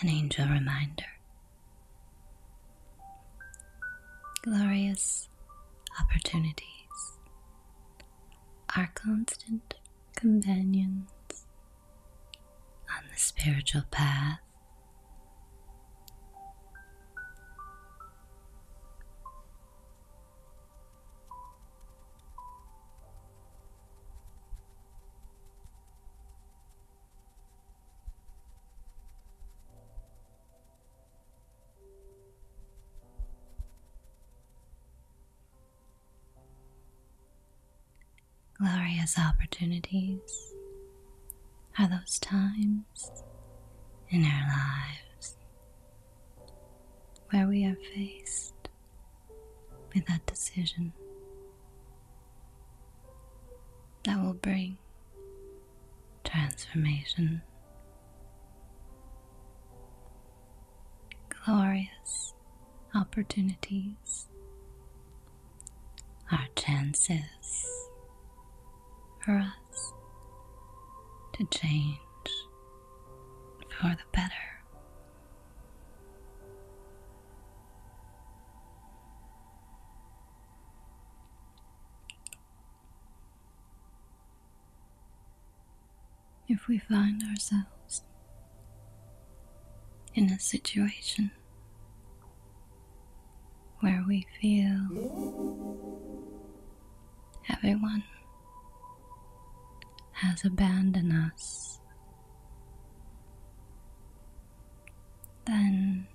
An angel reminder. Glorious opportunities are constant companions on the spiritual path. Glorious opportunities are those times in our lives where we are faced with that decision that will bring transformation glorious opportunities. Our chances for us to change for the better if we find ourselves in a situation where we feel everyone has abandoned us, then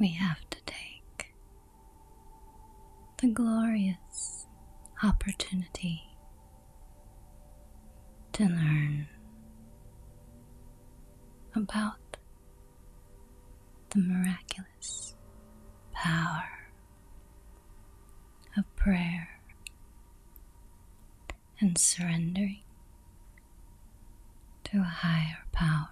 we have to take the glorious opportunity to learn about the miraculous power of prayer and surrendering to a higher power.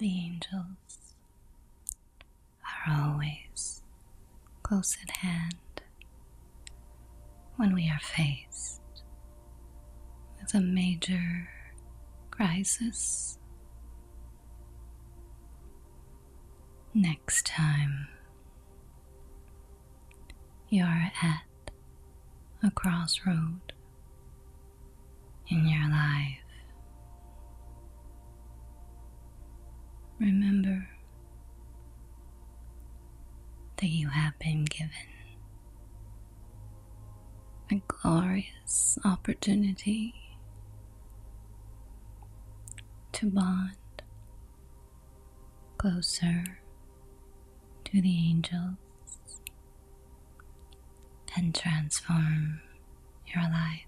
The angels are always close at hand when we are faced with a major crisis Next time you're at a crossroad in your life, remember that you have been given a glorious opportunity to bond closer to the angels and transform your life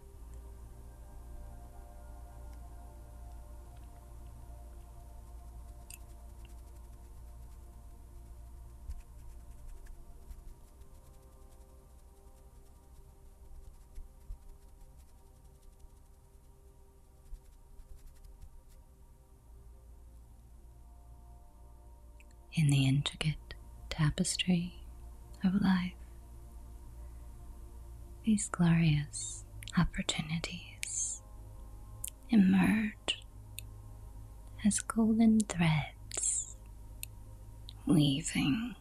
in the intricate tapestry of life. These glorious opportunities emerge as golden threads weaving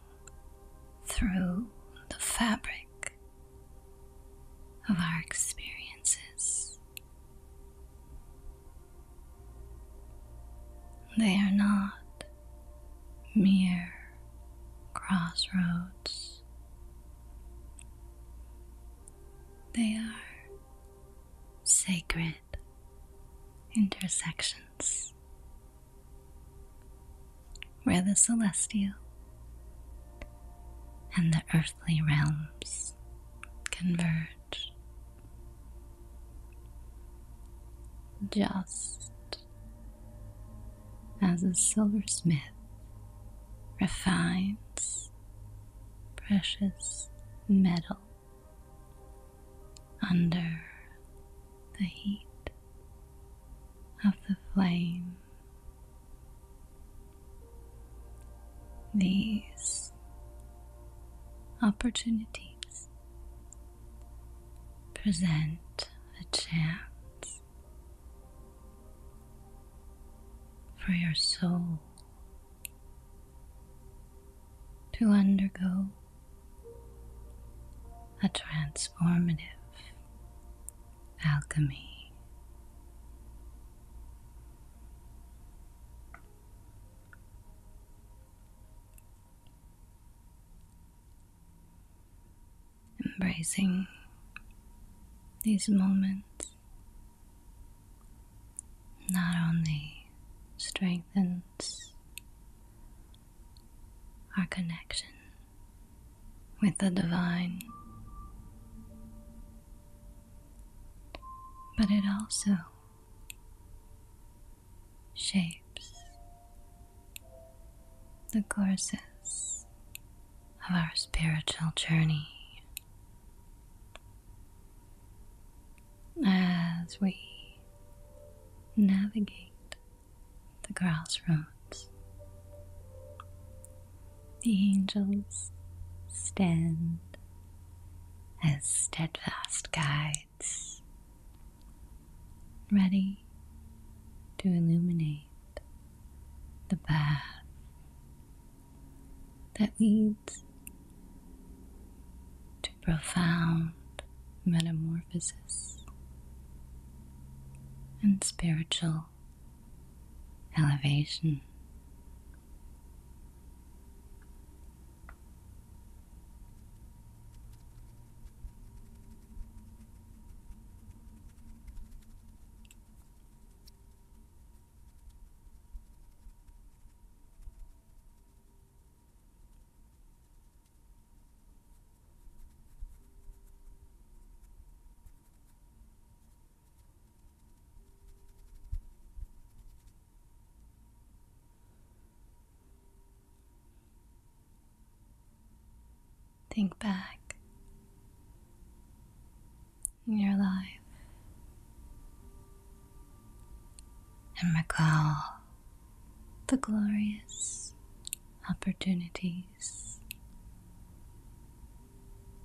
through the fabric of our experiences. They are not mere crossroads. They are sacred intersections where the celestial and the earthly realms converge. Just as a silversmith refines precious metal under the heat of the flame. These opportunities present a chance for your soul to undergo a transformative alchemy. Embracing these moments not only strengthens our connection with the divine, but it also shapes the courses of our spiritual journey as we navigate the crossroads. The angels stand as steadfast guides, ready to illuminate the path that leads to profound metamorphosis and spiritual elevation. Think back in your life and recall the glorious opportunities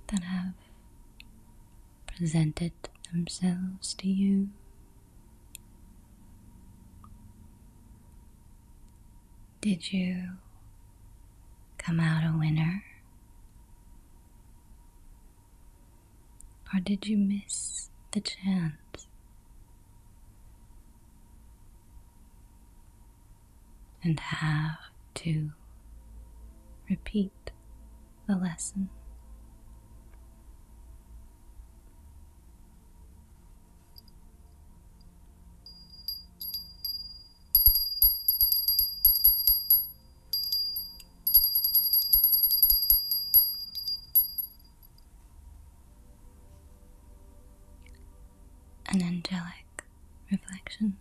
that have presented themselves to you. Did you come out a winner? Or did you miss the chance? And have to repeat the lesson. An angelic reflection.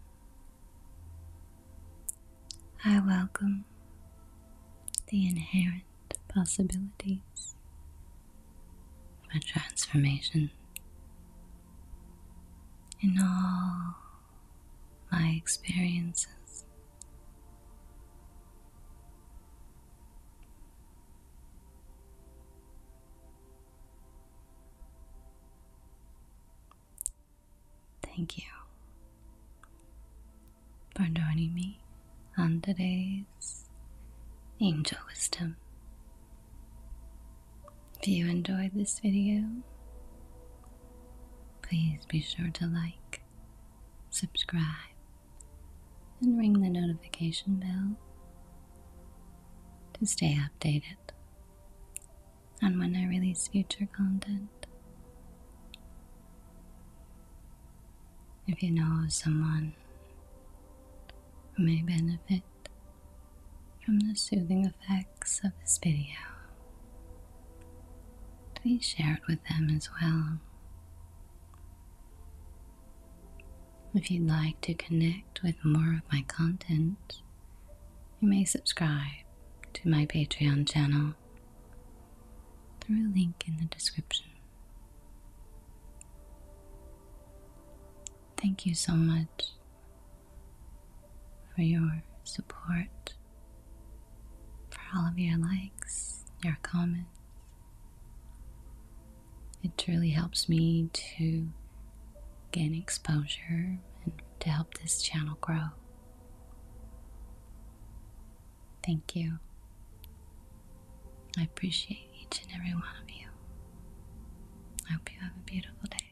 I welcome the inherent possibilities for transformation in all my experiences Thank you for joining me on today's Angel Wisdom. If you enjoyed this video, please be sure to like, subscribe, and ring the notification bell to stay updated on when I release future content. If you know someone who may benefit from the soothing effects of this video, please share it with them as well. If you'd like to connect with more of my content, you may subscribe to my Patreon channel through a link in the description. Thank you so much for your support for all of your likes, your comments. It truly helps me to gain exposure and to help this channel grow. Thank you. I appreciate each and every one of you. I hope you have a beautiful day.